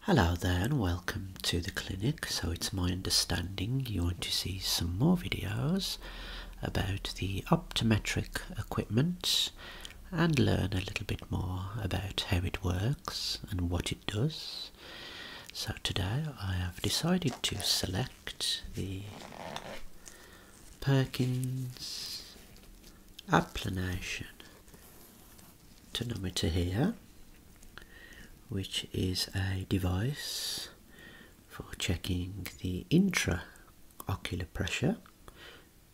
Hello there and welcome to the clinic. So it's my understanding you want to see some more videos about the optometric equipment and learn a little bit more about how it works and what it does. So today I have decided to select the Perkins Applanation tonometer here, which is a device for checking the intraocular pressure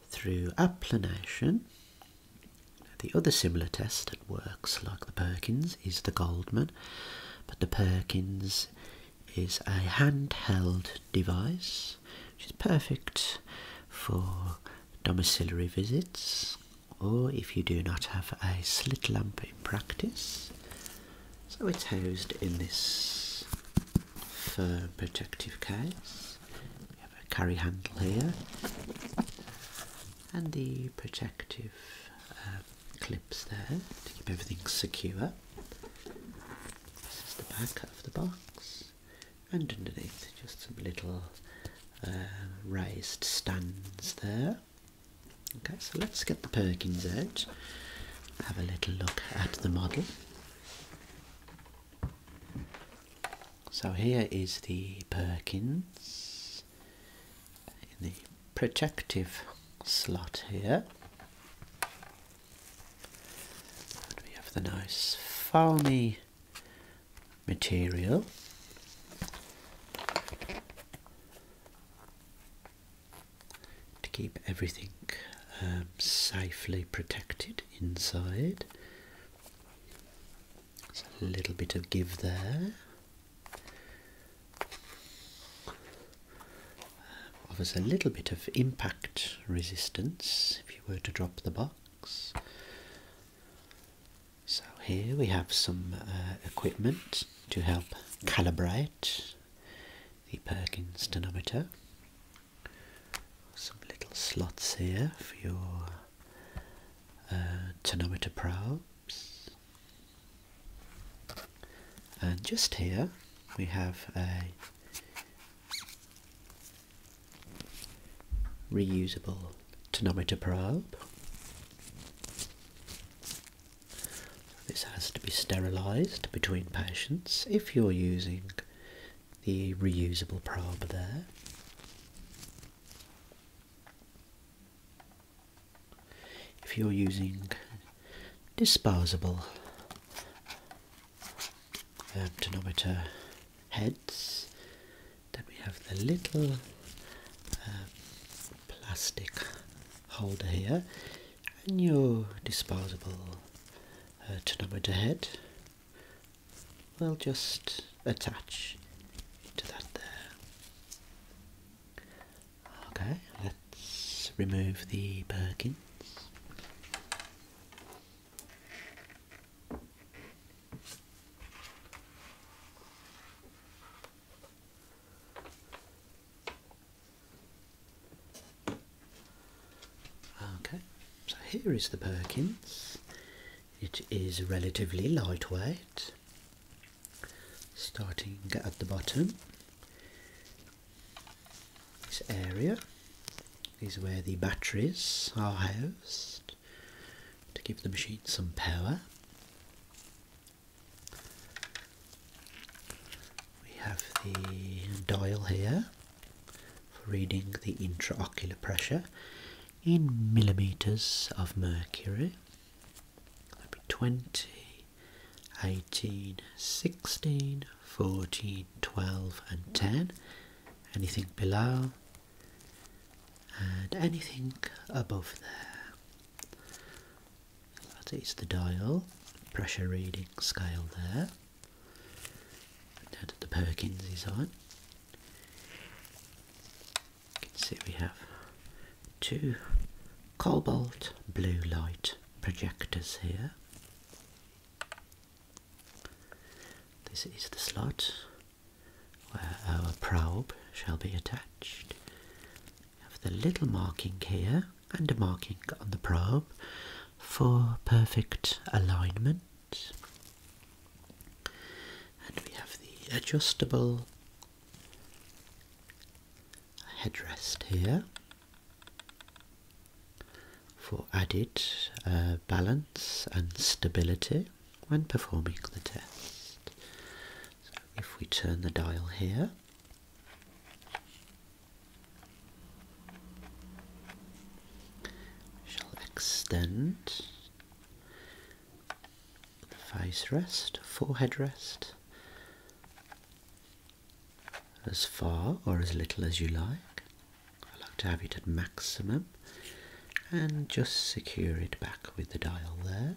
through applanation. The other similar test that works like the Perkins is the Goldman, but the Perkins is a handheld device which is perfect for domiciliary visits, or if you do not have a slit lamp in practice. So it's housed in this firm protective case. We have a carry handle here and the protective uh, clips there to keep everything secure. This is the back of the box and underneath just some little uh, raised stands there. Okay, so let's get the Perkins out, have a little look at the model. So here is the Perkins in the protective slot here. And we have the nice foamy material. To keep everything um, safely protected inside. There's a little bit of give there. offers uh, a little bit of impact resistance if you were to drop the box. So here we have some uh, equipment to help calibrate the Perkins tonometer. Some little slots here for your uh, tonometer probes. And just here we have a reusable tonometer probe. This has to be sterilised between patients if you're using the reusable probe there. If you're using disposable uh, tonometer heads. Then we have the little uh, plastic holder here and your disposable uh, tonometer head will just attach to that there. Okay, let's remove the Perkins. Okay, so here is the Perkins. It is relatively lightweight. Starting at the bottom, this area is where the batteries are housed to give the machine some power. We have the dial here for reading the intraocular pressure in millimeters of mercury. that 20 18, 16, 14, 12 and 10. Anything below and anything above there. That is the dial, pressure reading scale there. Now that the Perkins is You can see we have two cobalt blue light projectors here this is the slot where our probe shall be attached. We have the little marking here and a marking on the probe for perfect alignment. And we have the adjustable headrest here for added uh, balance and stability when performing the test. if we turn the dial here, shall extend the face rest, forehead rest, as far or as little as you like. I like to have it at maximum and just secure it back with the dial there.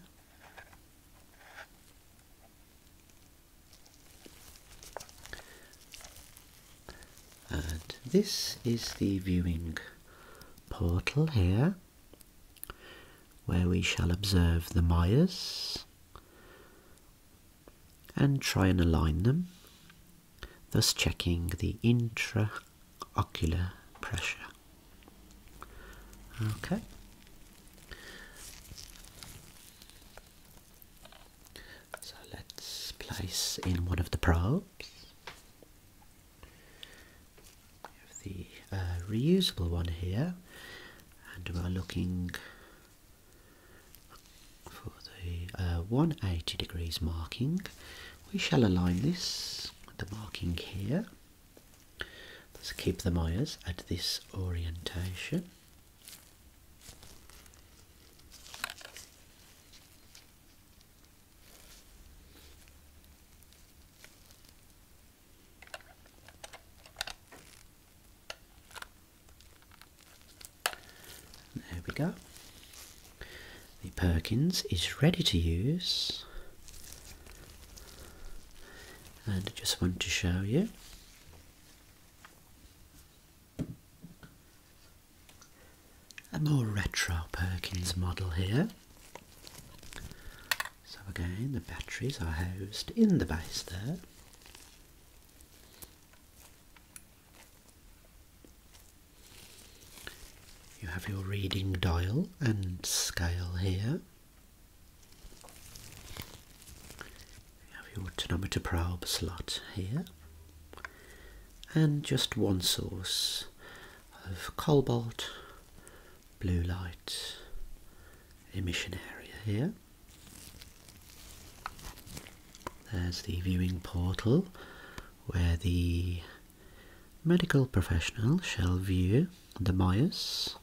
And this is the viewing portal here where we shall observe the Mayas and try and align them, thus checking the intraocular pressure. Okay. So let's place in one of the probes. the uh, reusable one here, and we're looking for the uh, 180 degrees marking. We shall align this the marking here. Let's keep the Myers at this orientation. There we go. The Perkins is ready to use. And I just want to show you a more retro Perkins model here. So again, the batteries are housed in the base there. You have your reading dial and scale here. You have your tonometer probe slot here. And just one source of cobalt blue light emission area here. There's the viewing portal where the medical professional shall view the bias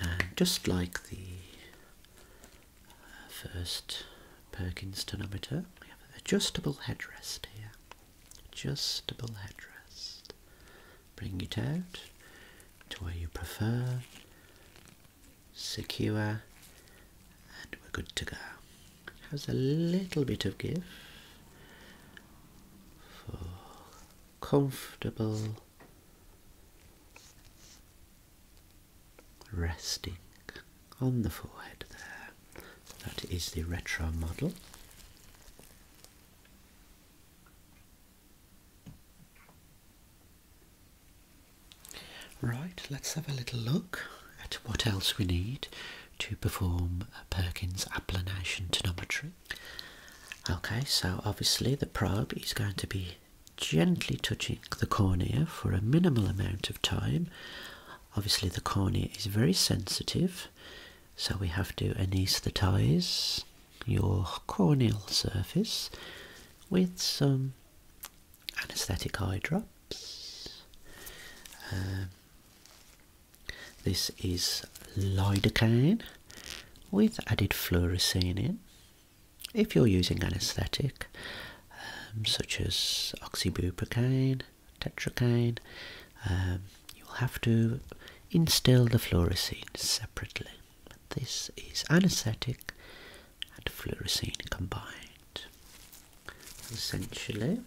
and just like the uh, first Perkins tonometer we have an adjustable headrest here Adjustable headrest. Bring it out to where you prefer, secure, and we're good to go. Has a little bit of give for comfortable resting on the forehead there. That is the retro model. Right, let's have a little look at what else we need to perform Perkins applanation tonometry. Okay, so obviously the probe is going to be gently touching the cornea for a minimal amount of time. Obviously the cornea is very sensitive. So we have to anaesthetize your corneal surface with some anaesthetic eye drops. Um, this is lidocaine with added fluorescein. If you're using anaesthetic, um, such as oxybuprocaine, tetracaine, um, you'll have to instill the fluorescein separately. This is anaesthetic and fluorescein combined. Essentially,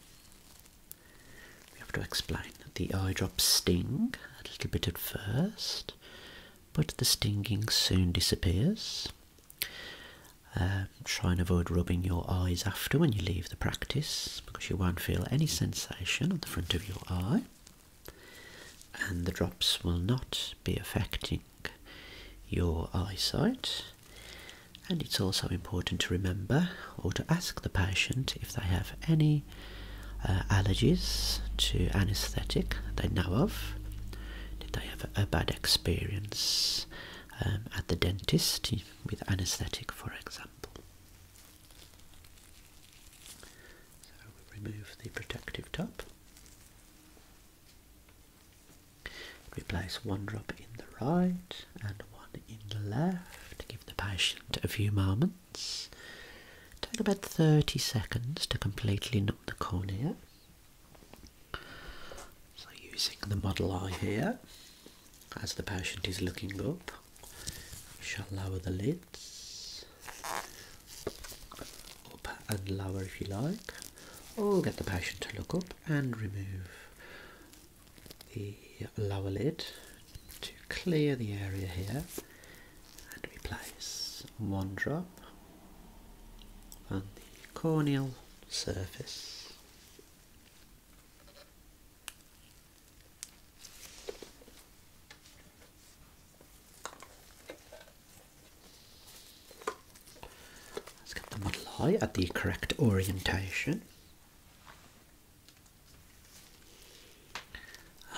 we have to explain that the eye drops sting a little bit at first, but the stinging soon disappears. Um, try and avoid rubbing your eyes after when you leave the practice because you won't feel any sensation on the front of your eye and the drops will not be affecting your eyesight. And it's also important to remember or to ask the patient if they have any uh, allergies to anaesthetic they know of. Did they have a bad experience um, at the dentist? with anaesthetic, for example. So we remove the protective top, replace one drop in the right and one in the left, give the patient a few moments. Take about 30 seconds to completely numb the cornea. So using the model eye here, as the patient is looking up, we shall lower the lids up and lower if you like, or get the patient to look up and remove the lower lid to clear the area here and replace one drop on the corneal surface Let's get the model eye at the correct orientation.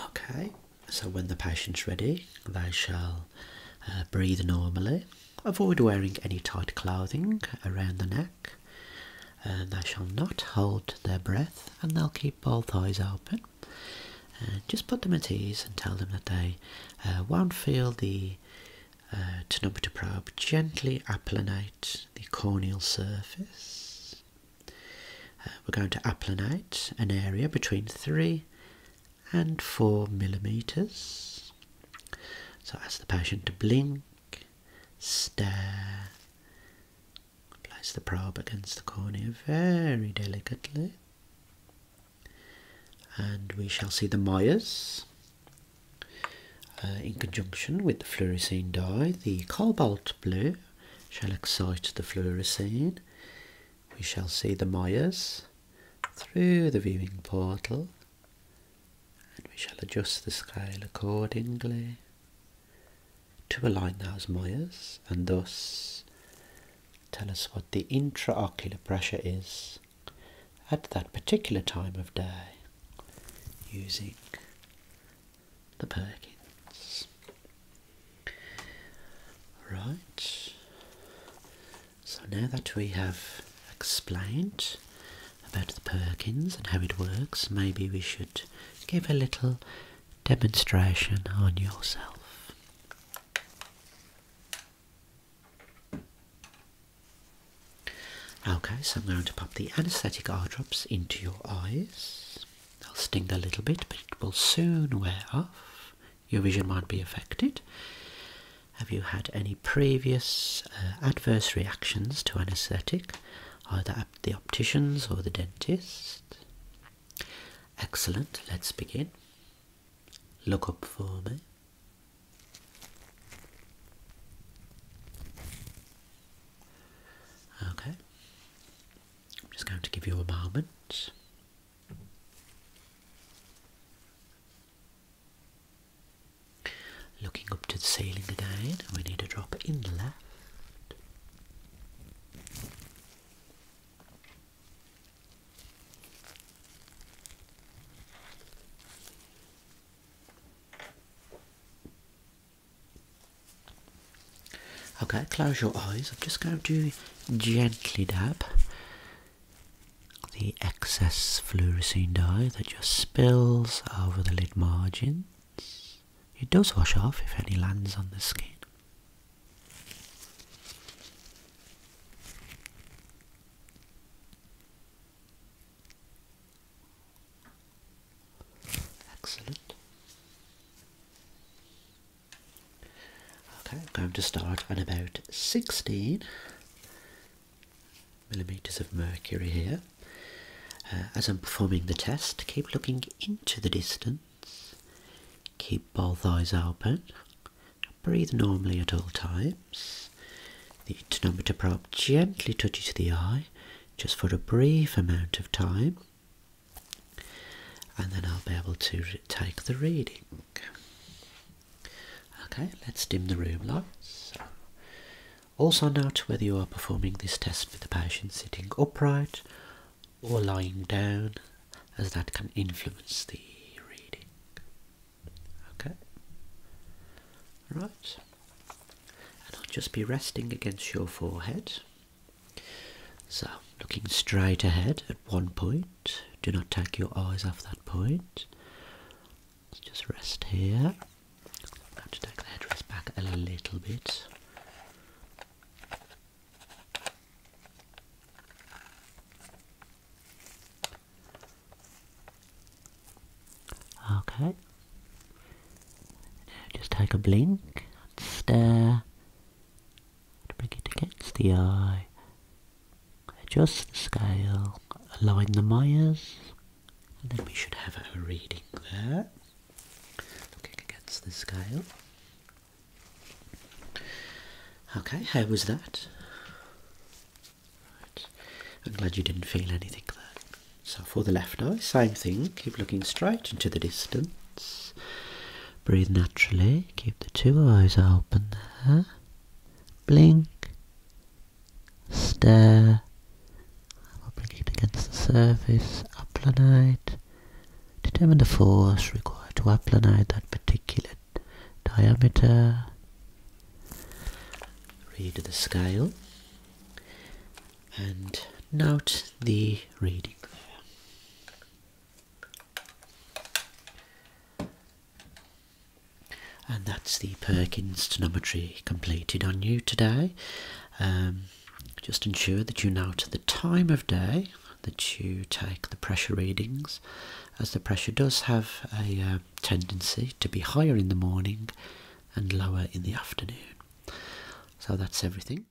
Okay, so when the patient's ready, they shall uh, breathe normally Avoid wearing any tight clothing around the neck. they shall not hold their breath and they'll keep both eyes open. And just put them at ease and tell them that they uh, won't feel the uh, tonometer probe. Gently applanate the corneal surface. Uh, we're going to applanate an area between 3 and 4 millimetres. So ask the patient to blink, stare, place the probe against the cornea very delicately, and we shall see the Myers. Uh, in conjunction with the fluorescein dye, the cobalt blue shall excite the fluorescein. We shall see the Myers through the viewing portal and we shall adjust the scale accordingly to align those mires and thus tell us what the intraocular pressure is at that particular time of day using the Perkins. Right, so now that we have explained about the Perkins and how it works, maybe we should give a little demonstration on yourself. Okay, so I'm going to pop the anaesthetic eye drops into your eyes. They'll sting a little bit, but it will soon wear off your vision might be affected. Have you had any previous uh, adverse reactions to anaesthetic, either at the opticians or the dentist? Excellent, let's begin. Look up for me. Okay, I'm just going to give you a moment. Looking up to the ceiling again, we need a drop in the left. Okay, close your eyes. I'm just going to gently dab the excess fluorescein dye that just spills over the lid margins. It does wash off if any lands on the skin. Excellent. Okay, I'm going to start at about 16 millimeters of mercury here. Uh, as I'm performing the test, keep looking into the distance, keep both eyes open, breathe normally at all times. The tonometer probe gently touches the eye just for a brief amount of time, and then I'll be able to take the reading. Okay, let's dim the room lights. Also note whether you are performing this test with the patient sitting upright or lying down as that can influence the reading. Okay. Right. And I'll just be resting against your forehead. So looking straight ahead at one point. Do not take your eyes off that point. Let's just rest here. I'm going to take the headrest back a little bit. Okay. just take a blink stare bring it against the eye. Adjust the scale, align the Myers, and then we should have a reading there. Looking against the scale. Okay, how was that? I'm glad you didn't feel anything there. So for the left eye, same thing. Keep looking straight into the distance. Breathe naturally. Keep the two eyes open there. Blink. Stare. I'll blink it against the surface. Applanate. Determine the force required to applanate that particular diameter. Read the scale. And note the reading there. And that's the Perkins tonometry completed on you today. Um, just ensure that you note the time of day that you take the pressure readings, as the pressure does have a uh, tendency to be higher in the morning and lower in the afternoon. So that's everything.